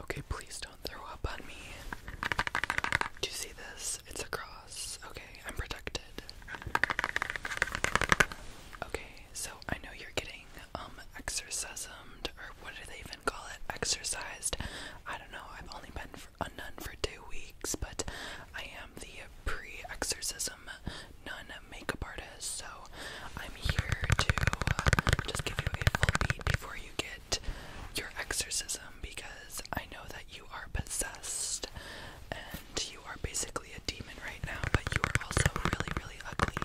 Okay, please don't throw up on me. Do you see this? It's a cross. Okay, I'm protected. Okay, so I know you're getting um exorcismed or what do they even call it? Exercised. I don't know. I've only been for a nun for two weeks, but I am the pre-exorcism nun makeup artist, so I'm here to uh, just give you a full beat before you get your exorcism because I know that you are possessed and you are basically a demon right now, but you are also really, really ugly.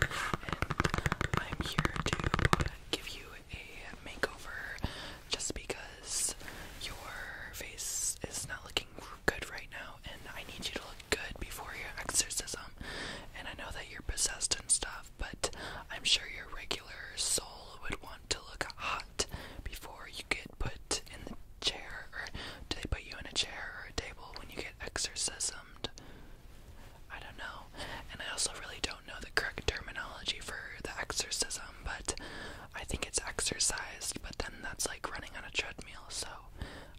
And I'm here to give you a makeover just because your face is not looking good right now, and I need you to look good before your exorcism. And I know that you're possessed and stuff, but I'm sure your regular soul would want to look hot before you get put in the chair, or they put you in a chair or a table when you get exorcismed. I don't know. And I also really don't know the correct terminology for the exorcism, but I think it's exercised, but then that's like running on a treadmill, so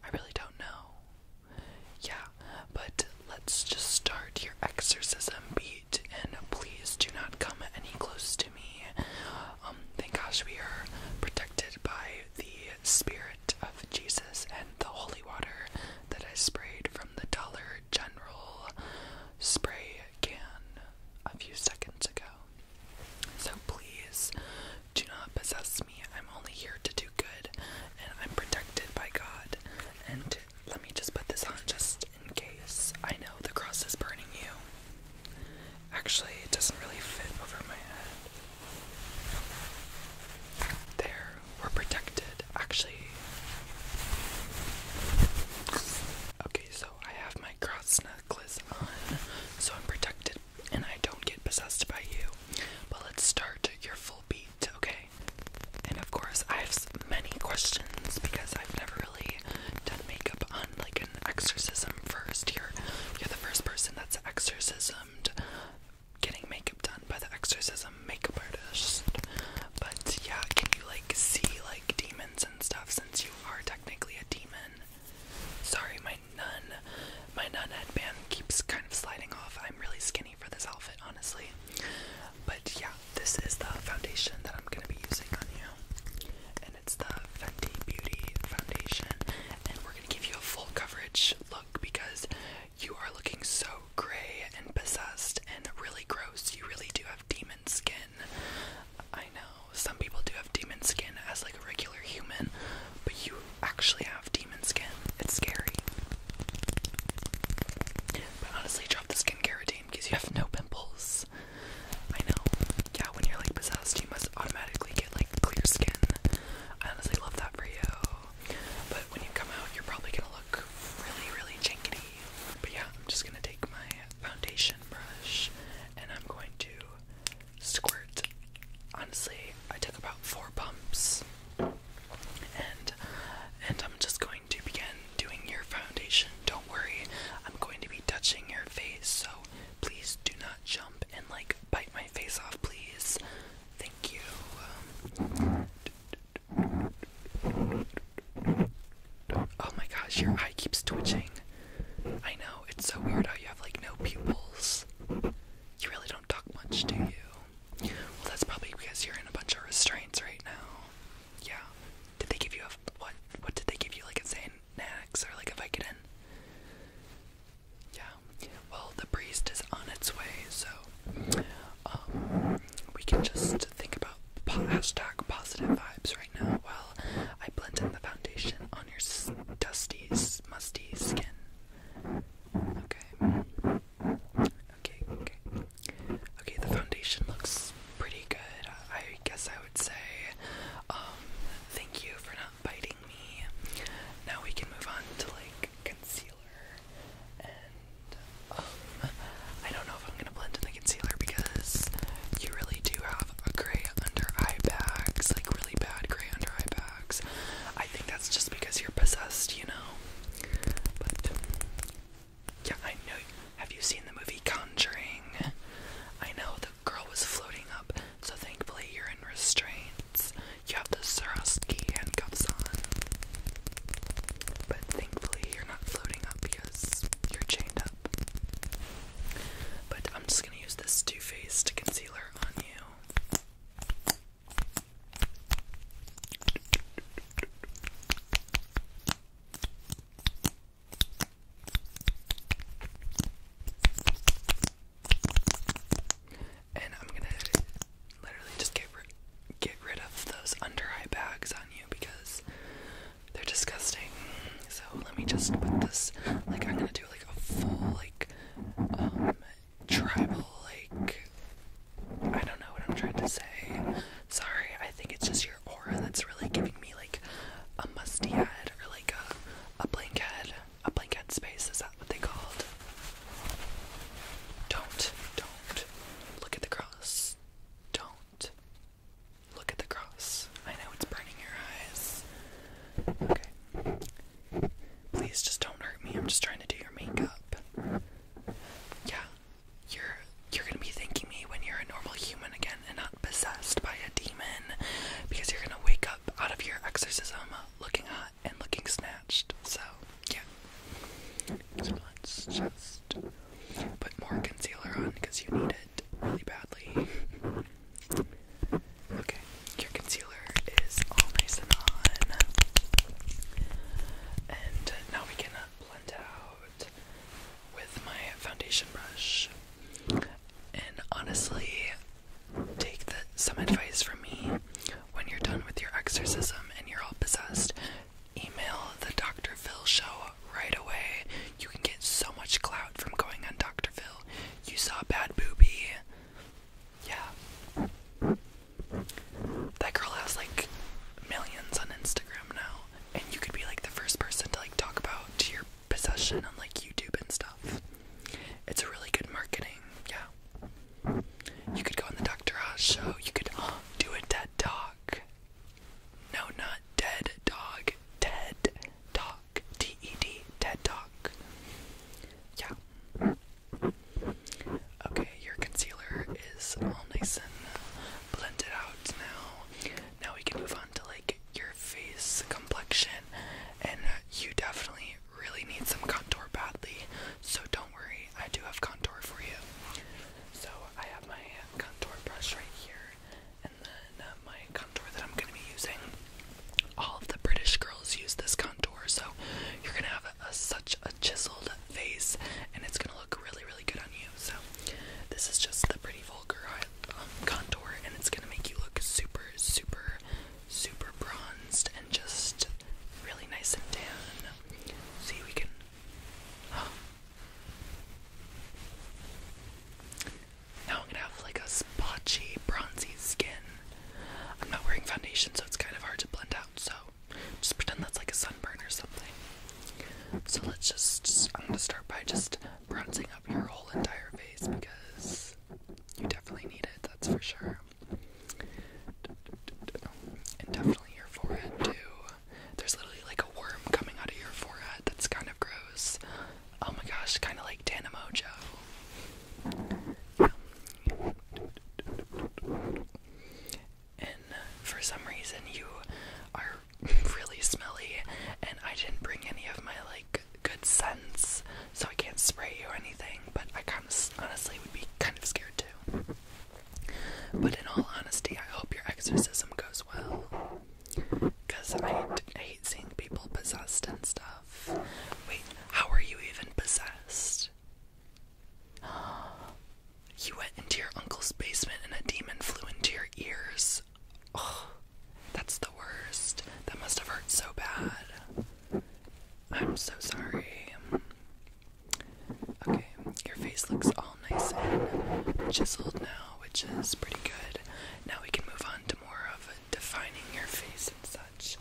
I really don't know. Yeah, but let's just start your exorcism beat and please do not come any close to me. Um, thank gosh we are protected by the spirit of Jesus and the holy water that I sprayed from the Dollar General spray can a few seconds ago. So please do not possess I'm only here to do good, and I'm protected by God. And let me just put this on just in case. I know the cross is burning you. Actually, it doesn't really fit over my head. There, we're protected. Actually, okay, so I have my cross necklace on, so I'm protected and I don't get possessed by you. But let's start your full beat, okay? and of course, I have many questions because I've never really done makeup on like an exorcism first. You're, you're the first person that's exorcismed getting makeup done by the exorcism makeup artist. But yeah, can you like see like demons and stuff since you are technically a demon? Sorry, my nun, my nun headband keeps kind of sliding off. I'm really skinny for this outfit, honestly. But yeah, this is the foundation that I'm gonna be using on you, and it's the Fenty Beauty foundation. And we're gonna give you a full coverage look because you are looking so gray and possessed and really gross. You really do have demon skin. I know some people do have demon skin as like a regular human, but you actually have demon skin. It's scary. But honestly, drop the skincare routine because you have no pimples. I know. Yeah, when you're like possessed, you must automatically get like clear skin. I honestly love that for you. But when you come out, you're probably gonna look really, really jinkety. But yeah, I'm just gonna take my foundation brush and I'm going to squirt. Honestly, I took about four pumps and and I'm just going to begin doing your foundation. Don't worry, I'm going to be touching your face, so please do not jump and like bite my face off, please. Thank you. Oh my gosh, your eye keeps twitching. I know, it's so weird how you have like no pupils. You really don't talk much to you. Well, that's probably because you're in a bunch of restraints right now. Yeah. Did they give you a what? What did they give you? Like insane Xanax or like a Vicodin? Yeah. Well, the priest is on its way, so um, we can just think about po hashtag positive vibes right now while I blend in the foundation on your dusty, musty skin. Okay. Okay, okay. Okay, the foundation looks pretty good. I guess I would say, um, thank you for not biting me. Now we can move on to like concealer. And, um, I don't know if I'm gonna blend in the concealer because you really do have a gray under eye bags, like really bad gray under eye bags. I think that's just because you're possessed, you know. But yeah, I know. Have you seen the movie Conjuring? I know the girl was floating up, so thankfully you're in restraints. You have the Swarovski handcuffs on, but thankfully you're not floating up because you're chained up. But I'm just gonna use this Too Faced concealer on you. And I'm gonna literally just get rid get rid of those under eye bags on you because they're disgusting. So let me just put this like I'm gonna do like a full like um, tribal, like, I don't know what I'm trying to say. Sorry, I think it's just your aura that's really giving me, like, a musty head or, like, a, a blank head. A blank head space, is that what they called? Don't, don't look at the cross. Don't look at the cross. I know it's burning your eyes. Okay. Please just don't hurt me. I'm just trying to do your makeup. Yeah. You're you're gonna be thanking me when you're a normal human again and not possessed by a demon. Because you're gonna wake up out of your exorcism looking hot and looking snatched. So yeah. let's just put more concealer on because you need it really badly. Okay, your concealer is all nice and on. And now we can blend out with my foundation brush. And honestly, take some advice from me. When you're done with your exorcism and you're all possessed, email the Dr. Phil show right away. You can get so much clout from going on Dr. Phil. You saw a bad booby. Yeah. That girl has like millions on Instagram now. And you could be like the first person to like talk about your possession on like YouTube and stuff. It's a really good marketing, yeah. You could go on the Dr. Oz show, you could do a dead dog. No, not dead dog, Dead. Talk. T E D. TED Talk. Yeah. Okay, your concealer is all nice and blended out now. Now we can move on to like your face complexion, and you definitely really need some contour badly. So don't worry, I do have contour for you. So I have my contour brush right here, and then uh, my contour that I'm going to be using. All of the British girls use this contour, so you're going to have such a chiseled face, and it's going to look really, really good on you. So, this is just the Pretty Vulgar um, contour, and it's going to make you look super, super, super bronzed and just really nice and tan. See, we can. Now I'm gonna have like a splotchy, bronzy skin. I'm not wearing foundation, so it's kind of hard to blend out. So just pretend that's like a sunburn or something. So let's just, just I'm gonna start by just bronzing up your whole entire face because you definitely need it. That's for sure. And definitely your forehead too. There's literally like a worm coming out of your forehead. That's kind of gross. Oh my gosh, kind of like Tana Mojo. And uh, for some reason, you are really smelly, and I didn't bring any of my like good scents, so I can't spray you or anything. But I kind of honestly would be kind of scared too. But in all honesty, I hope your exorcism goes well. Cause I, hate seeing people possessed and stuff. Wait, how are you even possessed? You went into your uncle's basement and a demon flew into your ears. Oh, that's the worst. That must have hurt so bad. I'm so sorry. Okay, your face looks all nice and chiseled now, which is pretty good. Now we can move on to more of defining your face and such.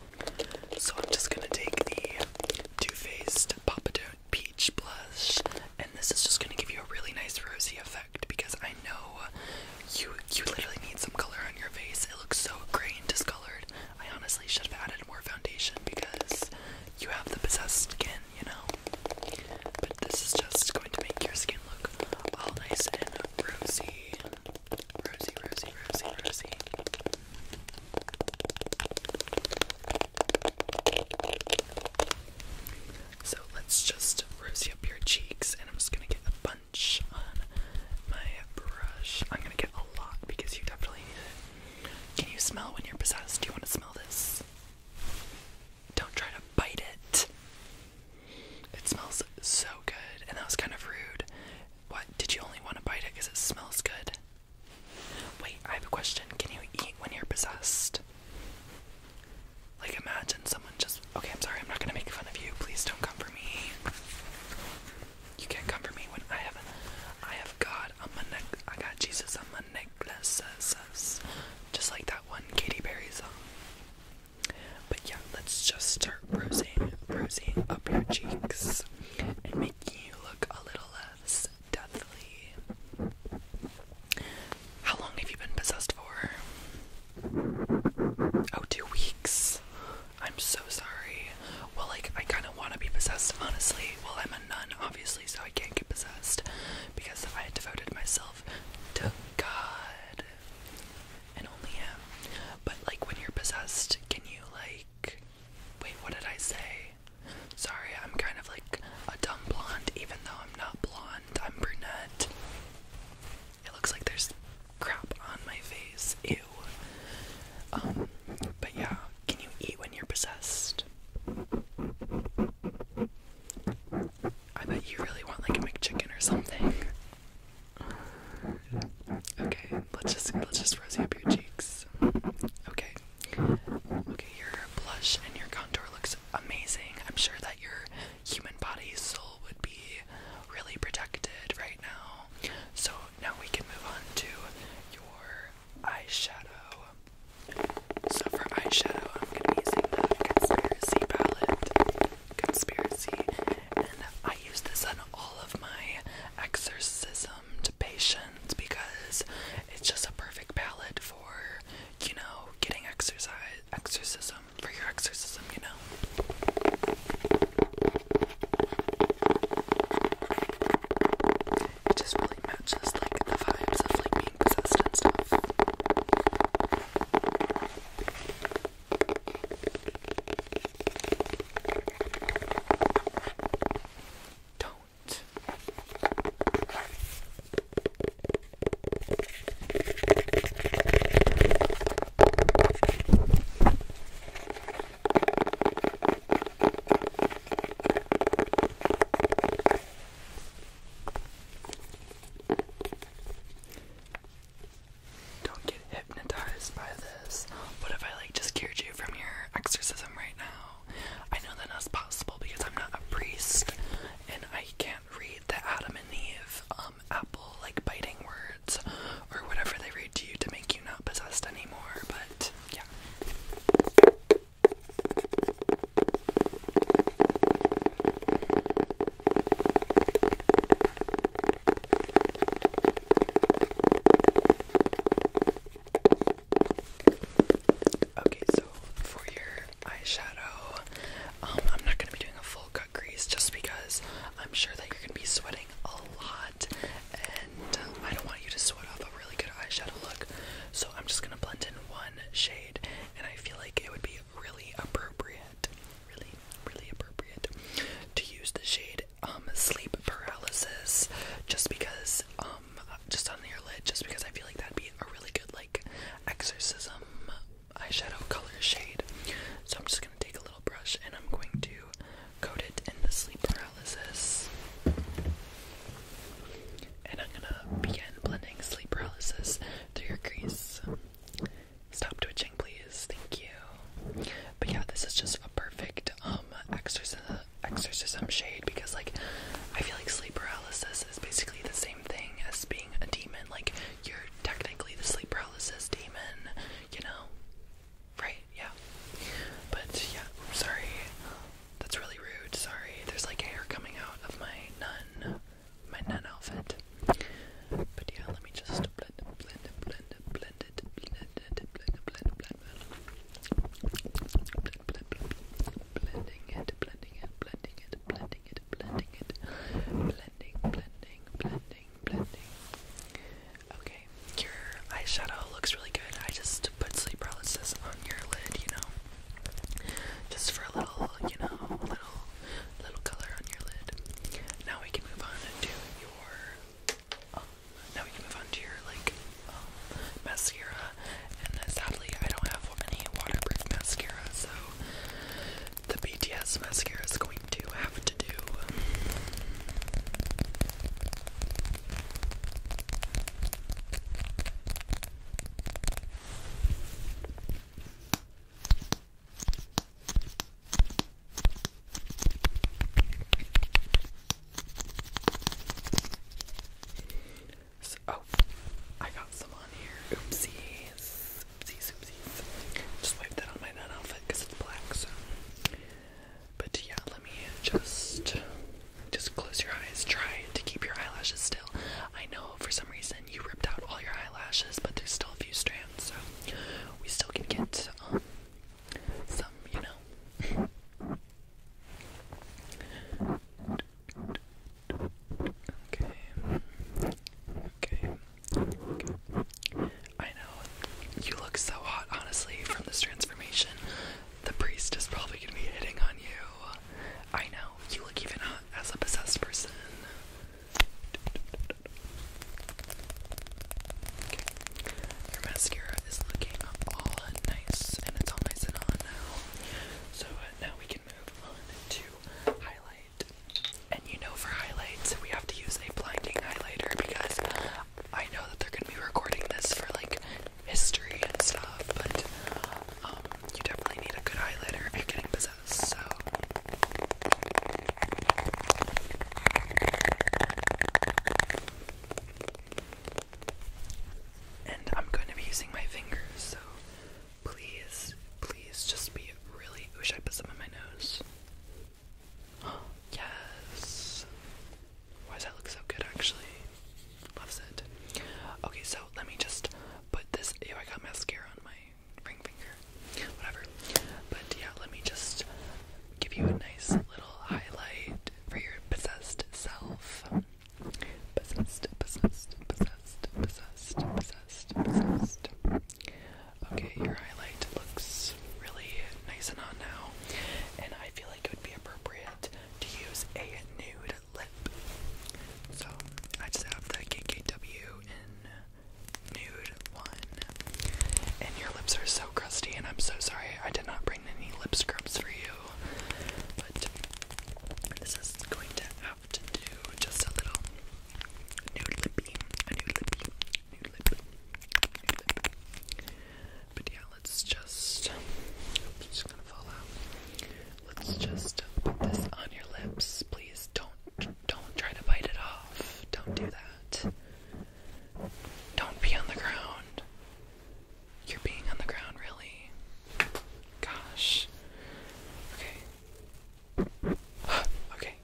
So I'm just gonna take the Too Faced Papa Don't Peach blush, and this is just gonna give you a really nice rosy effect because I know you you literally need some color on your face. It looks so gray and discolored. I honestly should have added more foundation because you have the possessed skin, you know. This is just going to make your skin look all nice and rosy. Rosy, rosy, rosy, rosy. So let's just rosy up your cheeks, and I'm just gonna get a bunch on my brush. I'm gonna get a lot because you definitely need it. Can you smell when you're possessed? Do you want to smell this? Don't try to bite it. It smells so good, and that was kind of rude. What? Did you only want to bite it because it smells good? Wait, I have a question. Can you eat when you're possessed? Like, imagine someone just. Okay, I'm sorry, I'm not gonna make fun of you. Please don't come for me. You can't come for me when I have, I have God on my I got Jesus on my necklaces. Just like that one Katy Perry song. But yeah, let's just start rosy, bruising up your cheeks and making you look a little less deathly. How long have you been possessed for? Oh, two weeks. I'm so sorry. Well, like, I kind of want to be possessed, honestly. Well, I'm a nun, obviously, so I can't get possessed because if I had devoted myself to God and only Him. But like when you're possessed, can you like. Wait, what did I say? Sorry, I'm kind of like a dumb blonde, even though I'm not blonde, I'm brunette. It looks like there's crap on my face. Ew. Um, but yeah, can you eat when you're possessed? I bet you really want like a McChicken or something. Okay, let's just let's just rosy up your cheeks. Okay. Okay, your blush and your contour looks amazing. I'm sure that your human body soul would be really protected right now. So now we can move on to your eyeshadow. So for eyeshadow, I'm gonna be using the Conspiracy palette. Conspiracy. And I use this on all of my exorcism to patients because it's just a perfect palette for, you know, getting exercise exorcism for your exorcism, you know it just really matches like the vibes of like being possessed and stuff. Don't. Don't get hypnotized by this. What if I like just cured you from your exorcism right now? I know that that's possible because I'm not a priest and I can't read the Adam and Eve um, apple like biting words or whatever they read to you to make you not possessed anymore, but yeah. Okay, so for your eyeshadow, um, I'm not gonna be doing a full cut crease just because I'm sure that you're gonna be sweating a lot, and uh, I don't want you to sweat off a really good eyeshadow look. So I'm just gonna blend in one shade, and I feel like it would be really appropriate, really, really appropriate to use the shade um, sleep paralysis, just because um, just on your lid, just because I feel like that'd be a really good like exorcism eyeshadow color shade. So I'm just gonna take a little brush and I'm going to coat it in the sleep paralysis. And I'm gonna begin blending sleep paralysis through your crease. Stop twitching, please. Thank you. But yeah, this is just a perfect um exorcism exorcism shade because like I feel like sleep paralysis is basically the same thing as being a demon. Like you're technically the sleep paralysis demon, you know? Right? Yeah. But yeah, I'm sorry. That's really rude. Sorry. There's like hair coming out of my nun, my nun outfit. But yeah, let me just blend, blend, blend, blend it, blend it, blend, blend, blend, blend, blend, blending it, blending it, blending it, blending it, blending it, blending, blending, blending, blending. Okay, your eyeshadow looks really good. I just put sleep paralysis on your lid, you know, just for a little, you know, little, little color on your lid. Now we can move on to your. Um, now we can move on to your like um, mascara, and sadly I don't have any waterproof mascara, so the BTS mascara is going to have to do. Um, oh, I got some on here. Oopsies. Oopsies, oopsies. Just wiped that on my nun outfit because it's black, so but yeah, let me just just close your eyes. Try to keep your eyelashes still. I know for some reason you ripped out all your eyelashes, but there's still a few strands, so we still can get um, some, you know. Okay. Okay. I know. You look so hot, honestly, from this transformation. The priest is probably gonna be hitting on you. I know, you look even hot uh, as a possessed person. Your mascara is looking all nice and it's all nice on now. So uh, now we can move on to highlight. And you know, for highlights, we have to use a blinding highlighter because I know that they're gonna be recording this for like history and stuff, but um, you definitely need a good highlighter and getting possessed, so. And I'm going to be using my fingers, so please, please just be really. Wish I put some in my nose. yes. Why does that look so good actually? Loves it. Okay, so let me just put this. Ew, I got mascara on my ring finger. Whatever. But yeah, let me just give you a nice little highlight for your possessed self. Possessed, possessed, possessed, possessed, possessed, possessed. Okay, your highlight looks really nice and on now. And I feel like it would be appropriate to use a nude lip. So I just have the KKW in nude one. And your lips are so crusty, and I'm so sorry I did not bring any lip scrubs for you. But this is going to have to do just a little nude lippy, a nude lippy, but yeah, let's just. just gonna fall out. Let's just put this on your lips, please. Don't, don't try to bite it off. Don't do that. Don't be on the ground. You're being on the ground, really. Gosh. Okay. okay.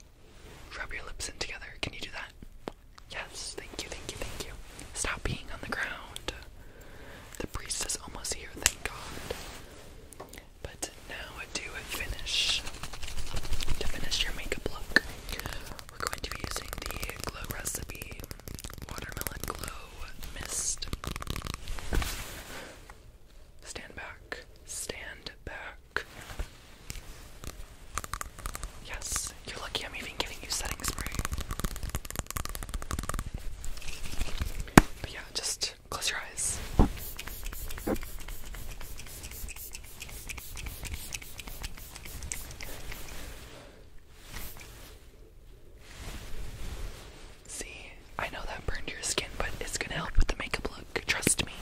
Rub your lips in together. Can you do that? Yes, thank you, thank you, thank you. Stop being on the ground. The priest is almost here, thank God. But now to finish to finish your makeup look, we're going to be using the Glow Recipe Watermelon Glow Mist. Stand back. Stand back. Yes, you're lucky I'm even giving you setting spray. But yeah, just close your eyes. See, I know that burned your skin, but it's gonna help with the makeup look. Trust me.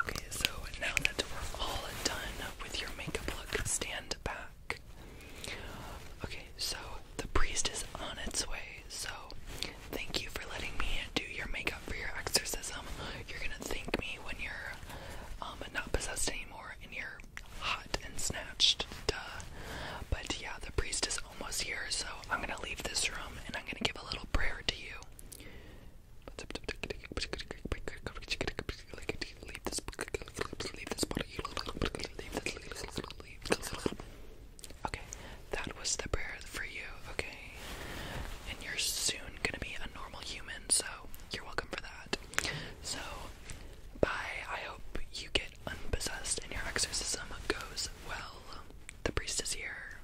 Okay, so now that we're all done with your makeup look, stand back. Okay, so the priest is on its way, so thank you for letting me do your makeup for your exorcism. You're gonna thank me when you're um, not possessed anymore and you're hot and snatched. Duh. But yeah, the priest is almost here, so I'm gonna leave this room and I'm gonna give a little prayer to you. Okay, that was the prayer for you. Okay, and you're soon gonna be a normal human, so you're welcome for that. So, bye. I hope you get unpossessed and your exorcism goes well. The priest is here.